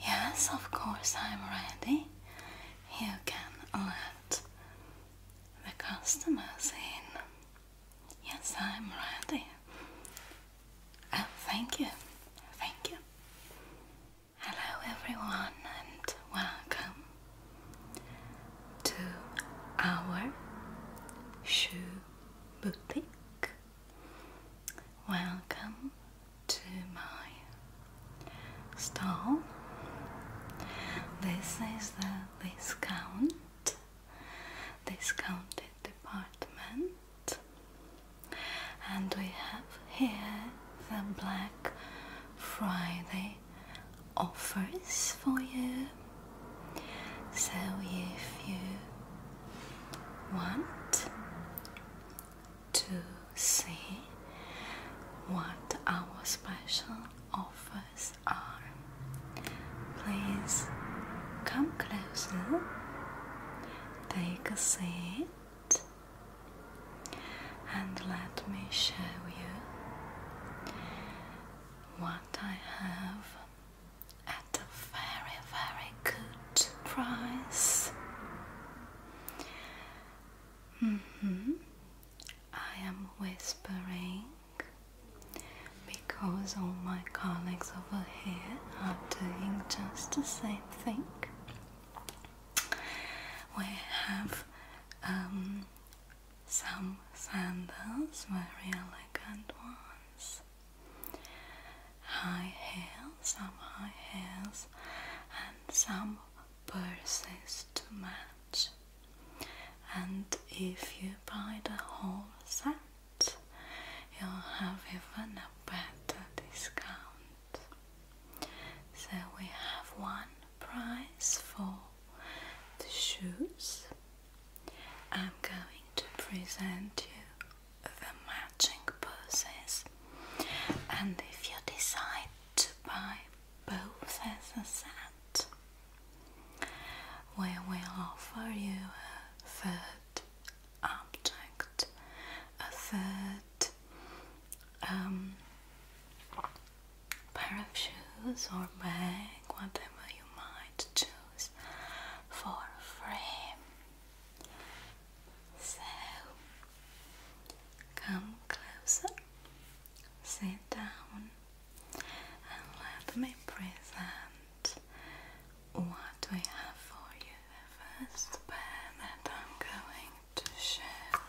Yes, of course, I'm ready. You can let the customers in. Yes, I'm ready. Oh, thank you. Thank you. Hello, everyone, and welcome to our shoe boutique. Welcome to my stall. This is the gown discounted department and we have here the Black Friday offers for you so if you want to see what our special offers Please come closer. Take a seat and let me show you what I have at a very, very good price. hmm I am whispering because all my colleagues over here are doing just the same thing. We have um, some sandals, very elegant ones, high heels, some high heels, and some purses to match. And if you buy the whole set, you'll have even a better discount. So we have one price for the shoes. I'm going to present you the matching purses, and if you decide to buy both as a set where we offer you a third object, a third um, pair of shoes or bag, whatever you might choose for free. So come closer, sit down and let me present what we have for you. first pair I'm going to share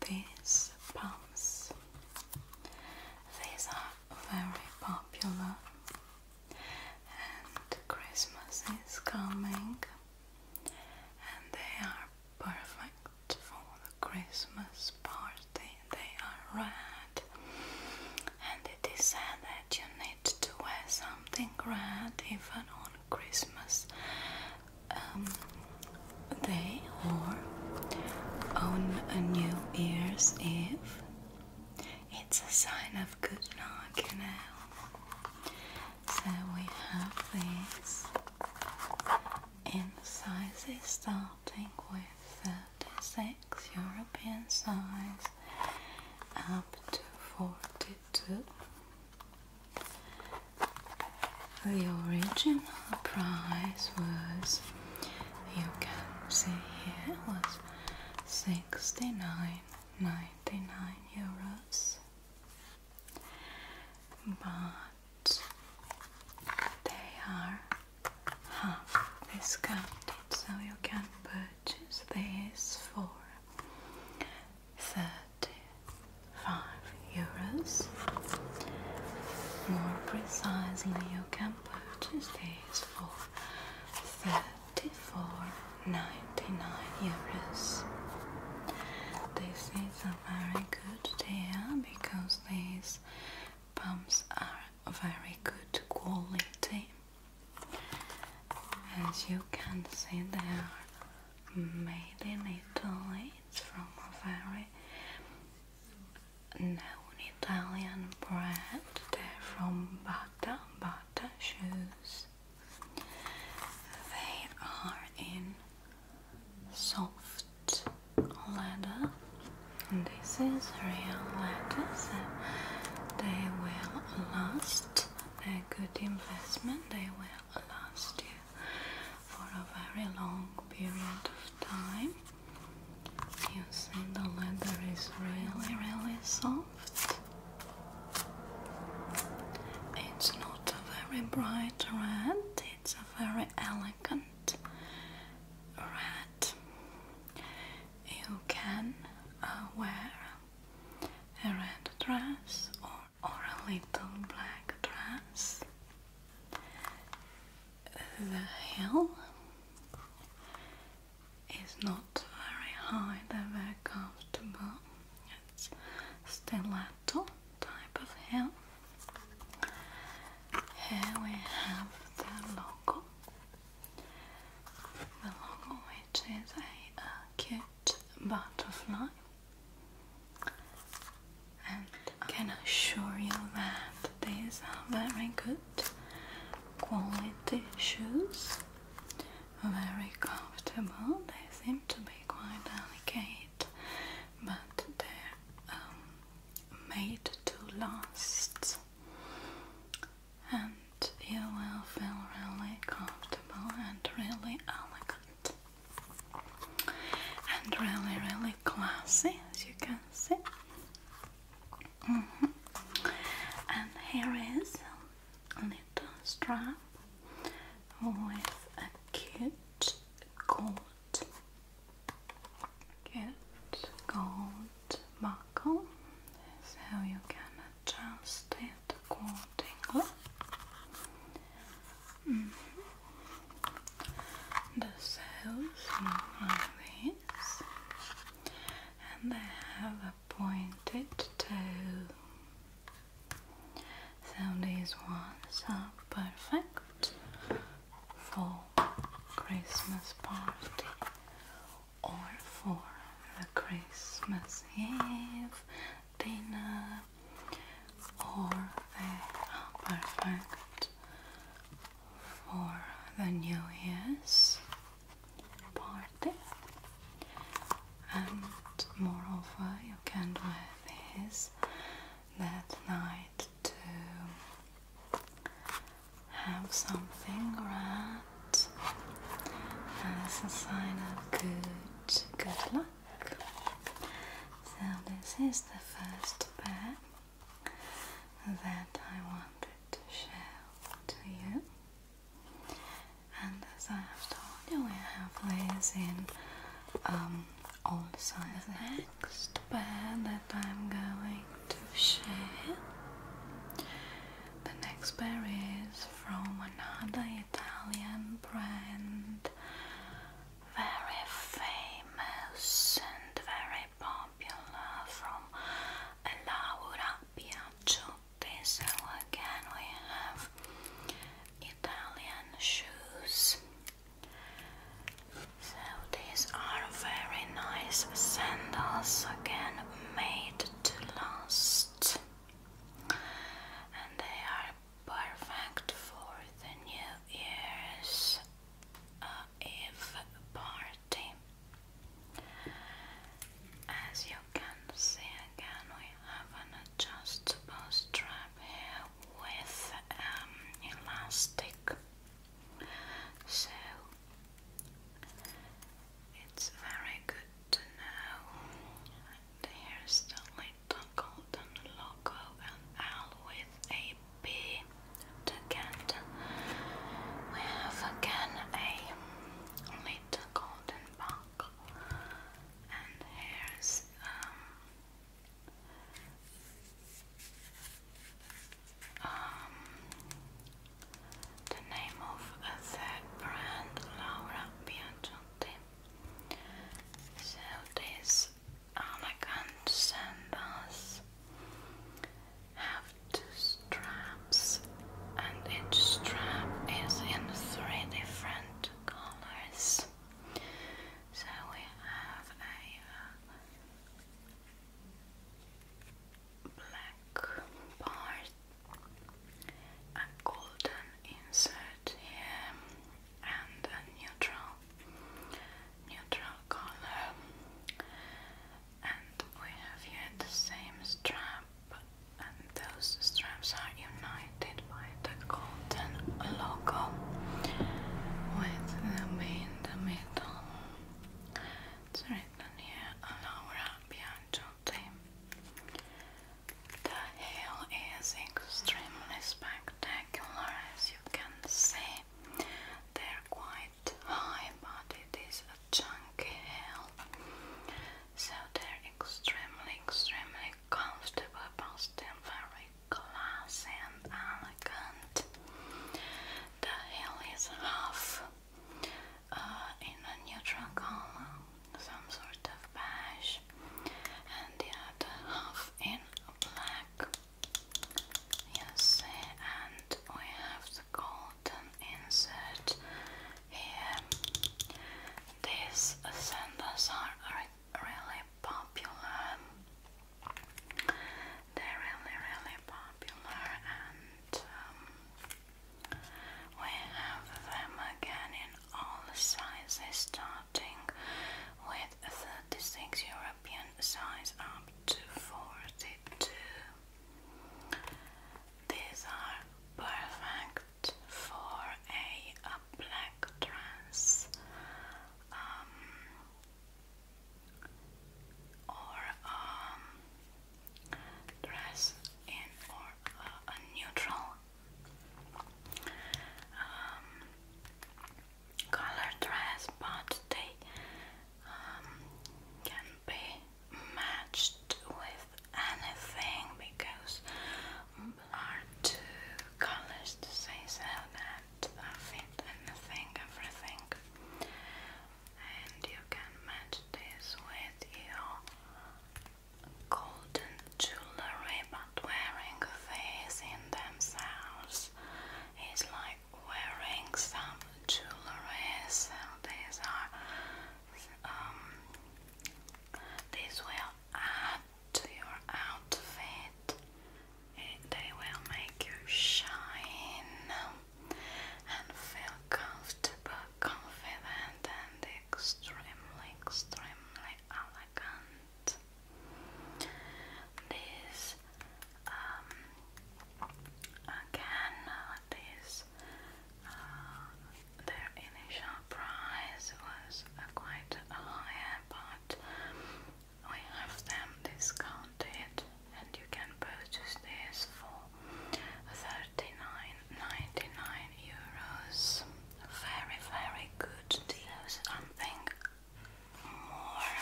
these pumps. These are very popular, and Christmas is coming, and they are perfect for the Christmas party. They are red, and it is said that you need to wear something red even on Christmas um, Day or on a New Year's Eve. It's a sign of good luck, you know. So we have these in sizes starting with 36 European size up to 42. The original price was, you can see here, was 69.99 euros. But they are half discounted, so you can purchase these for 35 euros. More precisely, you can purchase these for 34.99 euros This is a very good deal because these pumps are very good quality. As you can see, they are made in Italy. It's from a very known Italian brand. They're from Bata, Bata shoes. They are in soft leather. And this is real leather, so they will last. They're a good investment. They will last you for a very long period of time. You see, the leather is really, really soft. It's not a very bright red. It's a very elegant elegant red. You can uh, wear a red dress or, or a little black dress. The hill is not very high, they're very comfortable. It's stiletto type of help. Here we have the logo, the logo which is a, cute butterfly, and I can assure you that these are very good quality shoes, very comfortable. They seem to be quite delicate but they're um, made to last, and you will feel really comfortable and really elegant and really, really classy, as you can see. Mm-hmm. And here is a little strap with a cute gold Get gold buckle, how you can adjust it accordingly. Mm -hmm. The cells look like this, and they have a pointed toe. So these ones are perfect for Christmas party or for the Christmas Eve dinner or the perfect for the New Year's party and moreover you can wear this that night to have something right as a sign of good good luck. So this is the first pair that I wanted to show to you. And as I have told you, we have these in um, all the sides. The next pair that I'm going to share, the next pair is from another Italian brand, very famous and very popular from Laura Piacciotti. So again, we have Italian shoes. So these are very nice sandals again made to last and they are perfect for the New Year's uh, Eve party. As you can see again we have an adjustable strap here with um, elastic, so it's very good to know. Here's the little golden logo and L with a B to get. We have again a little golden buckle, and here's um, um, the name of that brand, Laura Piacenti. So this elegant sandals have two straps, and each strap is in three different colors. So we have a uh, black part, a golden insert here, and a neutral, neutral color. And we have here the same strap, and those straps are united did the golden logo with the in the middle. It's written here, Laura Biancotti. The heel is extremely spectacular, as you can see. They're quite high, but it is a chunky hill, So they're extremely, extremely comfortable, still very classy and elegant. The heel is half uh, in a neutral color, some sort of beige, and the other half in black. You and we have the golden insert here. These sandals are really popular. They're really, really popular, and um, we have them again in all sizes, starting with 36 European size up to 42. These are perfect for a black dress um, or um, dress in or uh, a neutral um, color dress, but they um, can be matched with anything because are two colors to say so that fit anything, everything. And you can match this with your golden jewelry, but wearing these in themselves is like wearing some jewelry. So these are, um, these will add to your outfit. They will make you shine and feel comfortable, confident, and extremely, extremely elegant. This, um, again, uh, this, uh, their initial price was prices are quite higher, but I have them discounted, and you can purchase this for 39.99 euros. Very, very good deal. Something more,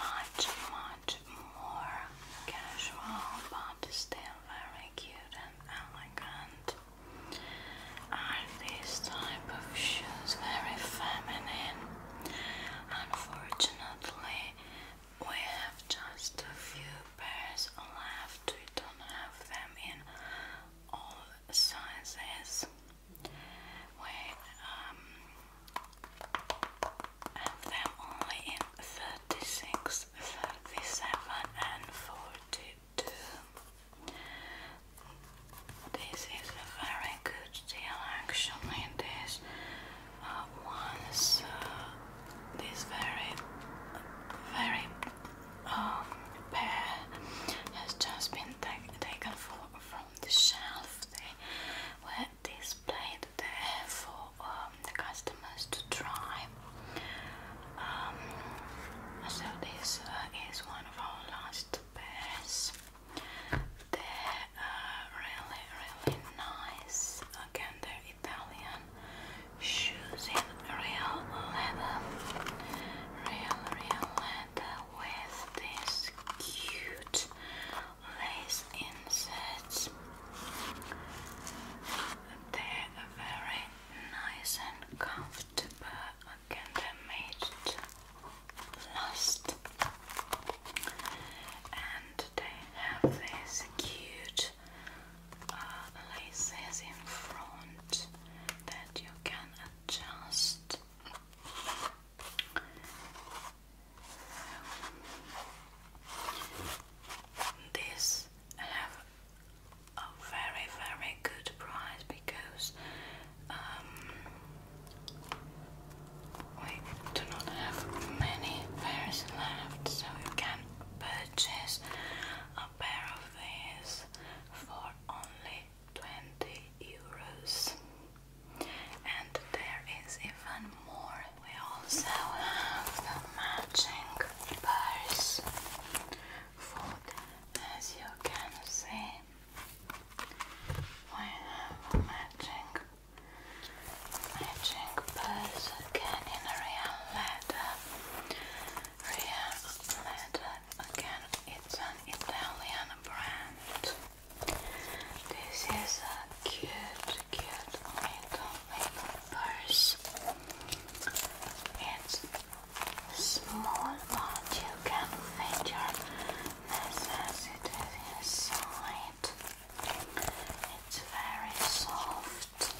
much, much more casual, but still very cute and elegant. And these type of shoes very feminine. Unfortunately, we have just a few pairs left. We don't have them in all sizes. We um, have them only in 36, and 40 this is a very good deal actually. This uh, one is uh, this very, very um, pair has just been ta taken from the shelf. They were displayed there for um, the customers to try. Um, so this uh, is one of our last they're uh, really, really nice. Again, they're Italian shoes in real leather, real, real leather with these cute lace inserts. They're very nice and comfortable again they made last and they have these cute uh, laces in front that you can adjust um, have a very very good price because um, we do not have many pairs left so you can purchase a pair of these for only 20 euros and there is even more we also have the matching pairs, for as you can see I have matching, matching purse again in real leather, real leather again. It's an Italian brand. This is a cute, cute little, little purse. It's small but you can fit your necessities inside. It's very soft,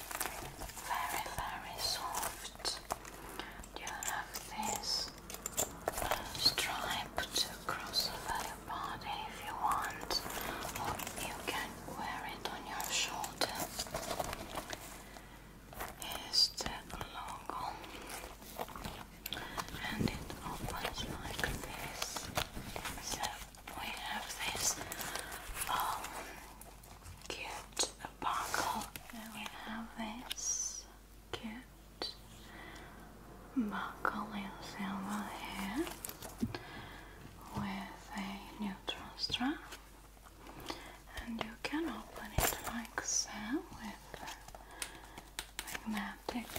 very, very soft. You have this stripe across your body if you want, or you can wear it on your shoulder. It's the logo and it opens like this. So we have this um, cute buckle and we have this cute buckle in silver here with a neutral strap and you can open it like so with a magnetic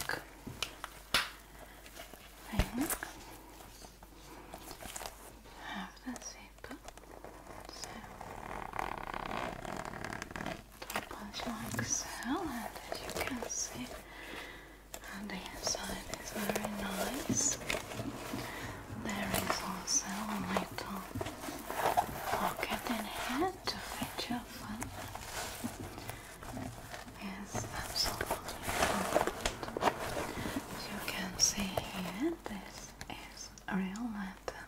thing. Have the zipper, so like so, and as you can see, and the inside is very nice. There is also a little pocket and head to fetch your phone. Yes, absolutely. As you can see here, this is a real letter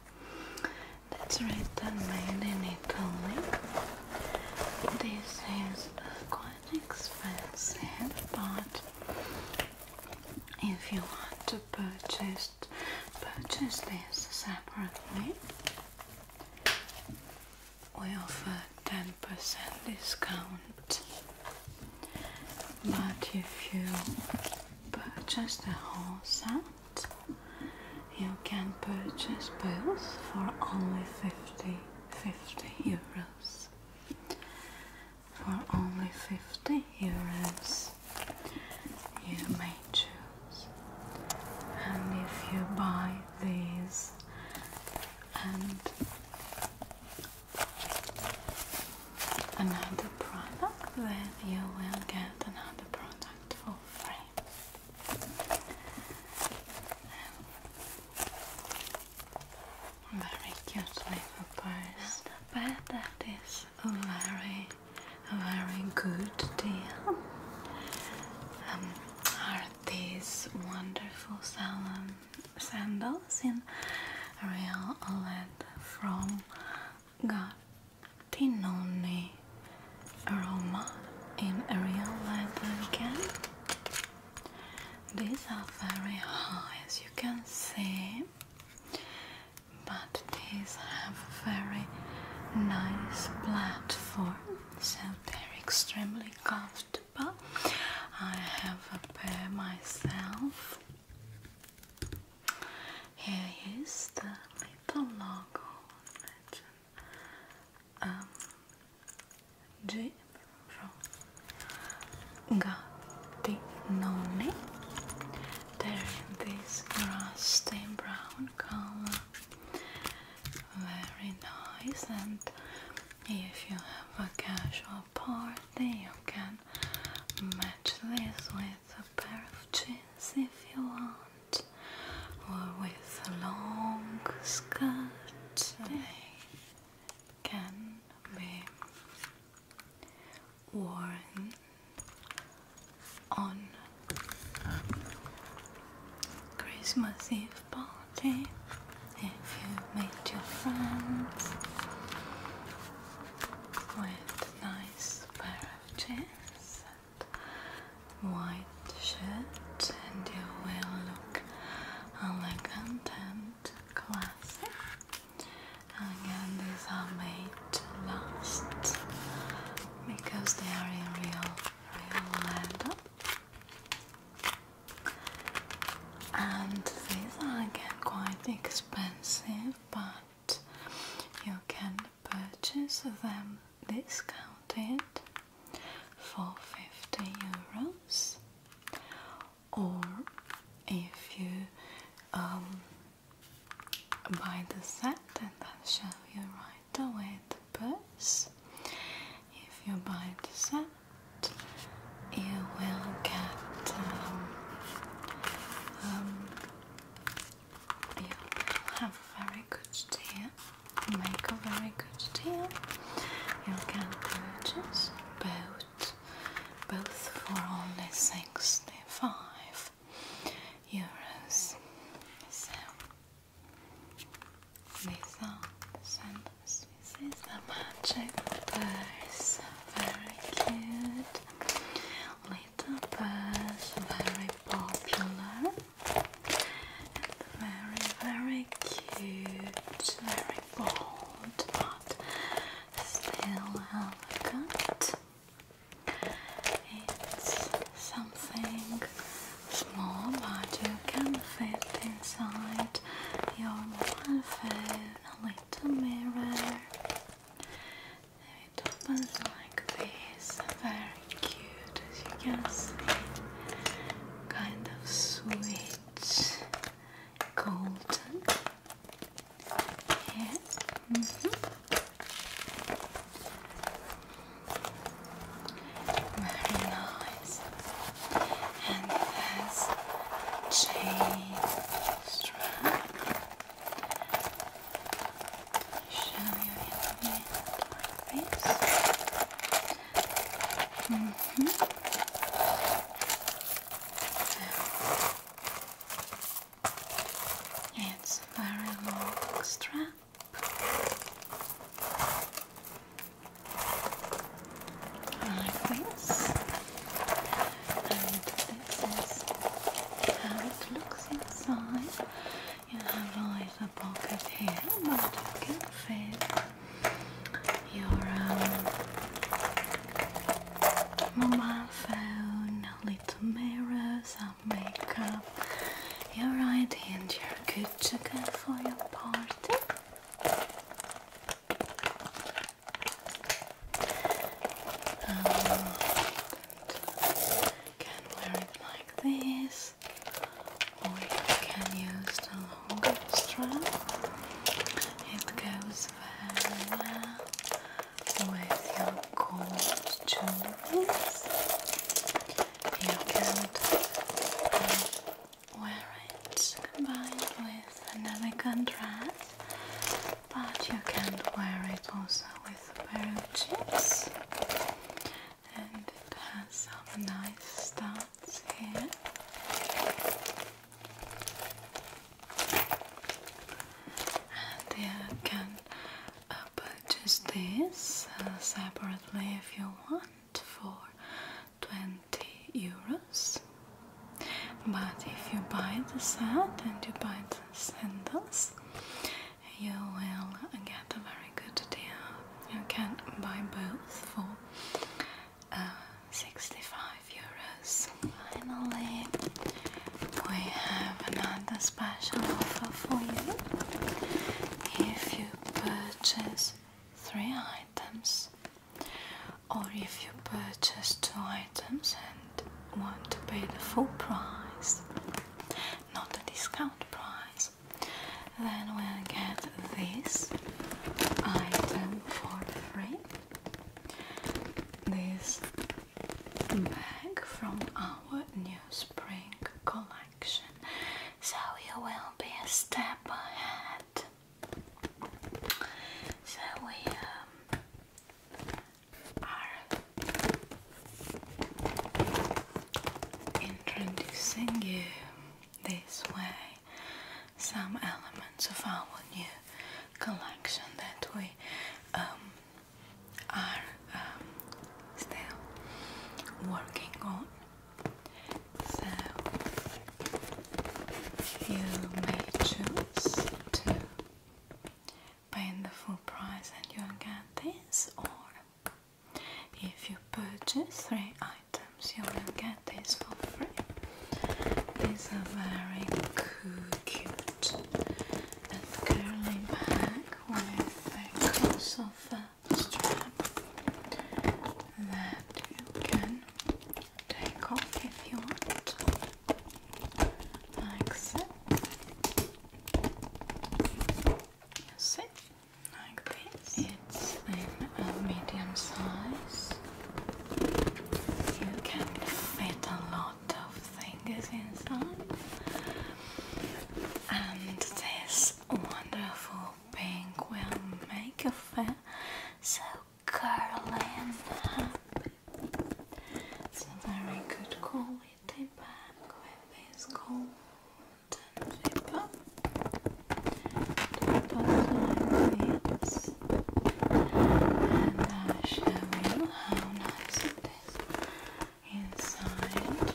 that's written mainly in Italy. This is quite expensive, but if you want to purchase purchase this separately. We offer 10% discount, but if you purchase the whole set, you can purchase both for only 50, 50 euros. For only 50 euros you may choose. And if you buy these and another product, then you will get another product for free. very cute little purse. bad that is a very, a very good deal. Um, are these wonderful salon sandals in real lead from Gattinone Roma in real leather again? These are very high, as you can see but these have a very nice platform, so they're extremely comfortable. I have a pair myself. Here is the little logo, um, G from Gattinone. They're in this grass stain brown color. Very nice, and if you have a casual party, you can match this with a pair of jeans if you want, or with a long skirt. They can be worn on Christmas Eve party if you meet your friends with nice pair of jeans and white shirt and you will look elegant and classy Again, these are made to last because they are in real, real leather. And these are again quite expensive, but you can purchase them discounted for 50 euros, or if you um, Buy the set and I'll show you right away the purse. If you buy the set, you will get um, um, you have a very good deal, make a very good deal. You can purchase both, both for only sixty-five euros. So these are This is the magic purse. Very cute little purse. Very popular very very cute. Very bold, but still elegant. It's something small, but you can fit inside your mobile a little mirror. It opens like this, very cute as you can see. Kind of sweet, golden, very nice. And there's chain strap. Show you it like this. Mm -hmm. It's a very long strap. Like this, and this is how it looks inside. You have like a pocket here, but you can fit your um, mobile phone little mirrors and makeup. You're right, and you're good to go for your party. Um, can wear it like this, or you can use the longer strap. It goes well with your gold jewels. You can um, wear it combined with an elegant dress, but you can wear it also with a pair of jeans. And it has some nice studs here you can uh, purchase this uh, separately if you want for 20 euros but if you buy the set and you buy the sandals you will get a very good deal you can buy both for uh, 65 euros yes, finally we have another special offer for you. If you purchase three items, or if you purchase two items and want to pay the full price, not the discount price, then we'll get this item for free. This bag from our new spring collection, so you will be a step ahead. So we um, are introducing you this way some elements of our new collection that we um, are um, still working on. So you may choose to pay the full price and you'll get this, or if you purchase three items, you will get this for free. These are very cool, cute and curling back with a crossover strap that you can take off if you want, like so. You see, like this. It's in a medium size. You can fit a lot of things inside and this wonderful pink will make you feel so curly it's a very good quality bag with this golden zipper it goes like and I'll show you how nice it is inside like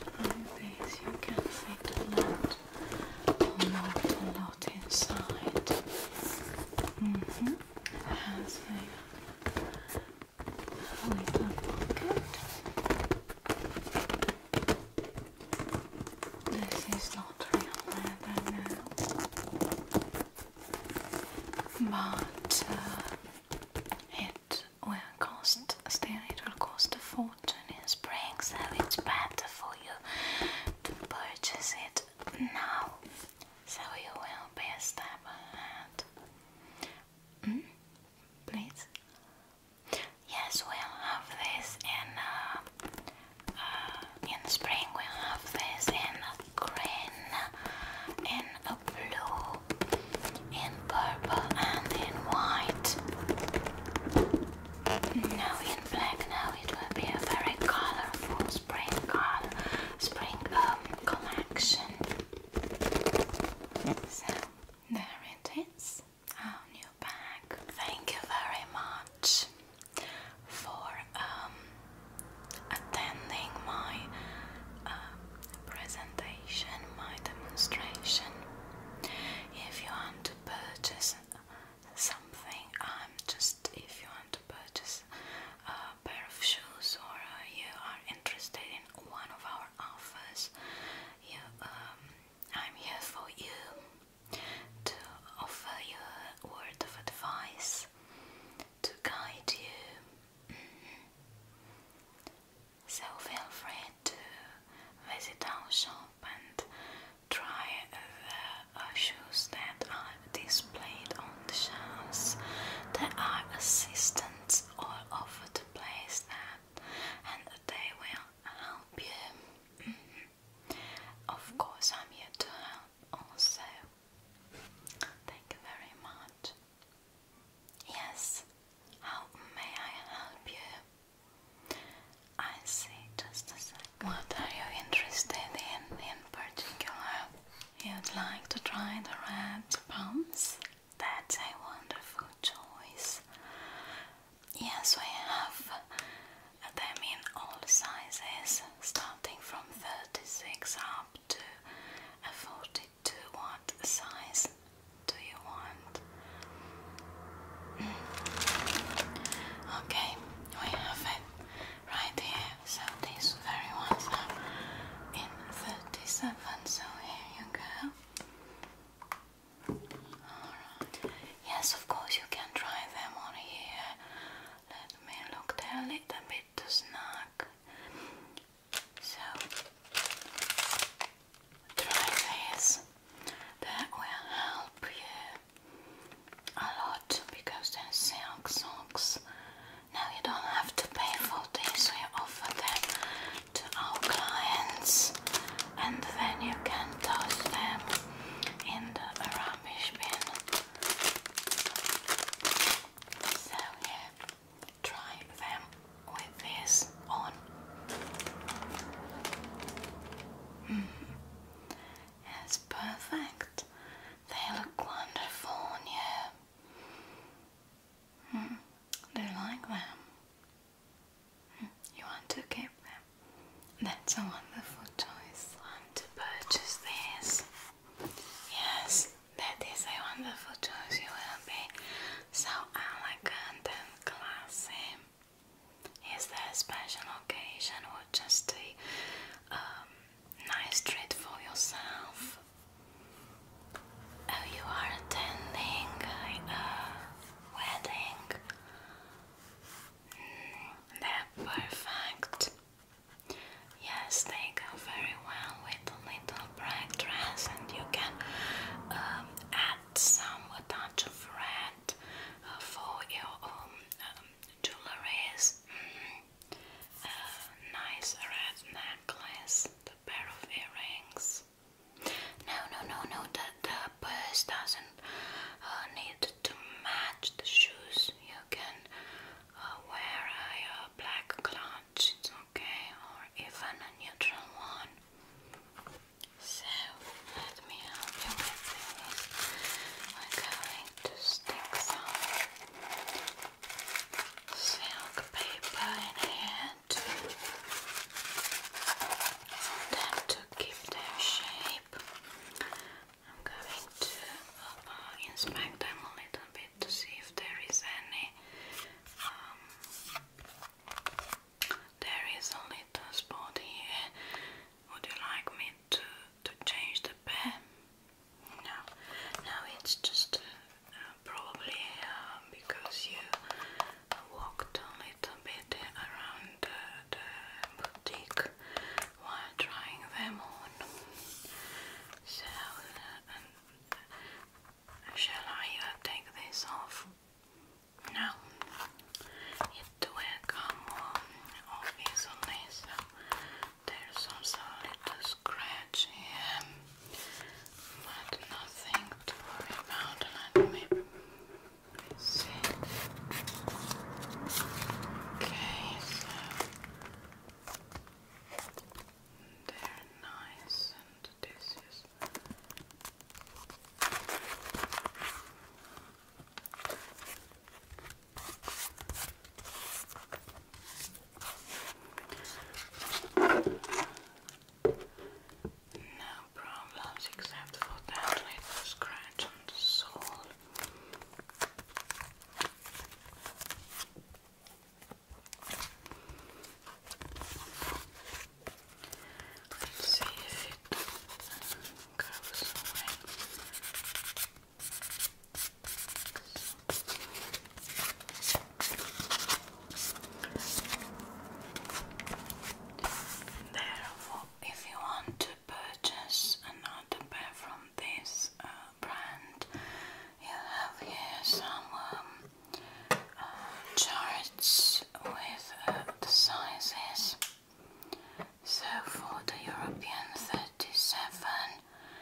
this you a lot a lot inside mm -hmm. it has a, a pocket this is not real leather now but uh, it will cost, still it will cost a fortune in spring, so it's better for you to purchase it now, so you will be a step ahead. Hmm? Please? Yes, we'll have this in, uh, uh, in spring, we'll have this in green and blue and purple and in white. Now in black, now it will be a very colorful spring color, spring um, collection. So there it is, our new bag. Thank you very much for um, attending my uh, presentation, my demonstration. If you want to purchase something, I'm just if you want to purchase a pair of shoes or uh, you are interested in one of our offers, um, I'm here for you to offer your word of advice to guide you. Mm-hmm. So feel free to visit our shop and try the uh, shoes that are displayed on the shelves. There are assistants all over the place that and they will help you. Mm-hmm. Of course, I'm here to help also. Thank you very much. Yes, how may I help you? I see, just a second. What are you interested in in particular? You'd like to try the red pumps? That's a wonderful choice. Yes, we have them in all sizes starting from 36 up to a 42. What size do you want? Mm. Okay, we have it right here. So these very ones are in 37. So here you go. Alright. Yes, of course you can try them on here. Let me look there a little bit to snap black. So, try this. That will help you a lot because they silk socks. Now you don't have to pay for these, we offer them to our clients and then you can toss them in the rubbish bin. So yeah, try them with this on. Mm-hmm. It's perfect. They look wonderful on you. Mm. Do like them? Hmm, you want to keep them? That's a wonderful choice. to purchase these. Yes, that is a wonderful choice. You will be so elegant and classy. Is there a special occasion or just a um, nice treat for yourself? Oh, you are attending a, wedding. Mm, perfect. Yes, they go very well with a little black dress, and you can um, add some a touch of red uh, for your own um, um mm-hmm. uh, nice red necklace, the pair of earrings. No, no, no, no. That the purse doesn't uh, need to match the shoes. You can uh, wear a black clutch, it's okay, or even a neutral one. So, let me help you with this. We're going to stick some silk paper in here to, for them to keep their shape. I'm going to uh, inspect them a little bit to see if there is any. Um, there is a little spot here. Would you like me to to change the pen? No, no, it's just uh, probably uh, because you walked a little bit around the boutique while trying them on. Uh, shall I uh, take this off? No, it will come off easily, there's also a little scratch here, but nothing to worry about. Let me see. Okay, they're nice, and this is. No problems except for that little scratch on the sole. Let's if Therefore, if you want to purchase another pair from this uh, you have here some um, uh, charts with uh, the sizes. So for the European 37,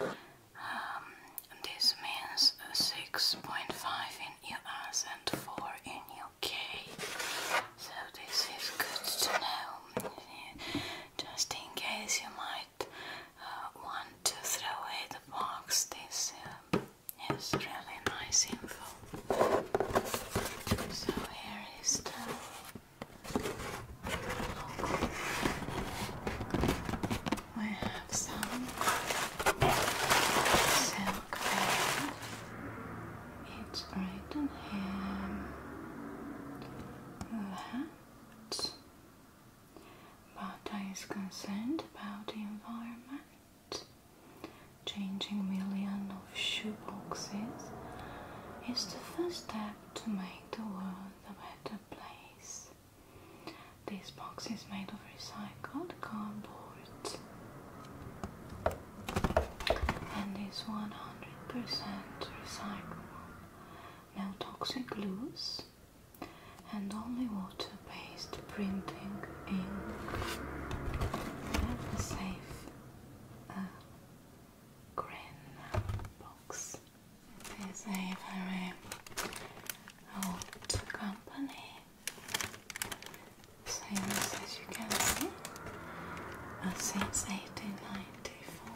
um, this means 6.5 in US and 4 in UK. So this is good to know, just in case you might might uh, want to throw away the box. This uh, is really nice info. So here is We have some silk veil. It's right on here. That but I is concerned about the environment. Changing millions of shoe boxes is the first step to make the world a better place. This box is made of recycled cardboard and is 100% recyclable no toxic glues, and only water based printing ink. Have safe uh, box. is a very old company. Since, as you can see, uh, since 1894.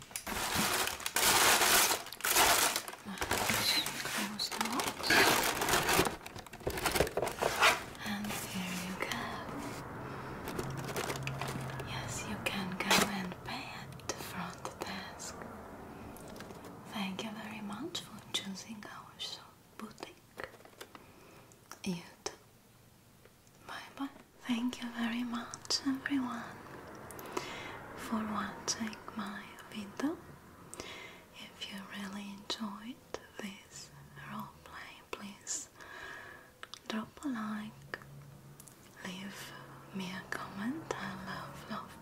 And here you go. Yes, you can go and pay at the front desk. Thank you very much for choosing our shop boutique. You too. Bye bye. Thank you very much, everyone, for watching my video. If you really enjoyed this roleplay, please drop a like, leave me a comment. I love, love,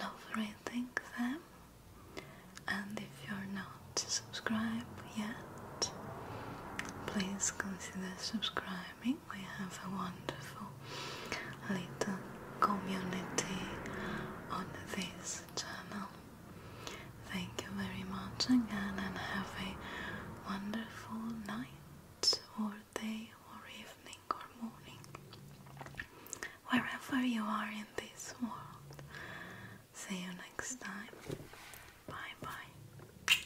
love reading them. And if you're not subscribed yet, please consider subscribing pandemic, we have a wonderful little community on this channel. Thank you very much again and have a wonderful night or day or evening or morning wherever you are in this world. See you next time. Bye bye.